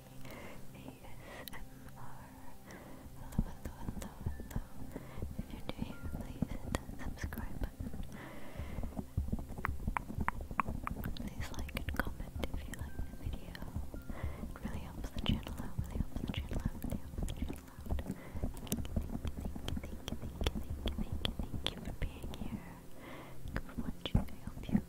Hello, If you're new here, please hit that subscribe button. Please like and comment if you like the video. It really helps the channel out, really helps really helps Thank you, for being here. Thank you for watching.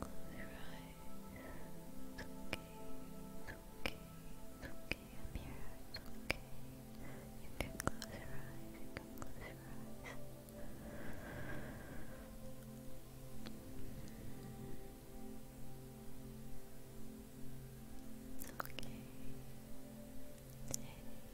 Close your eyes. It's okay. It's okay. It's okay. I'm here. It's okay. You can close your eyes. You can close your eyes. Okay. Hey.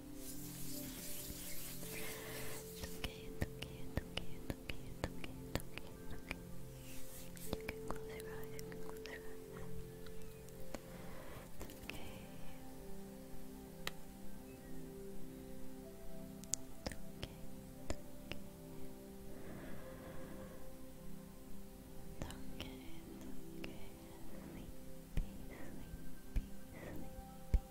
okay, okay, okay, okay, okay, okay, okay. You can close your eyes, you can close your eyes. It's okay. It's okay, it's okay. It's okay, it's okay. Sleepy, sleepy, sleepy.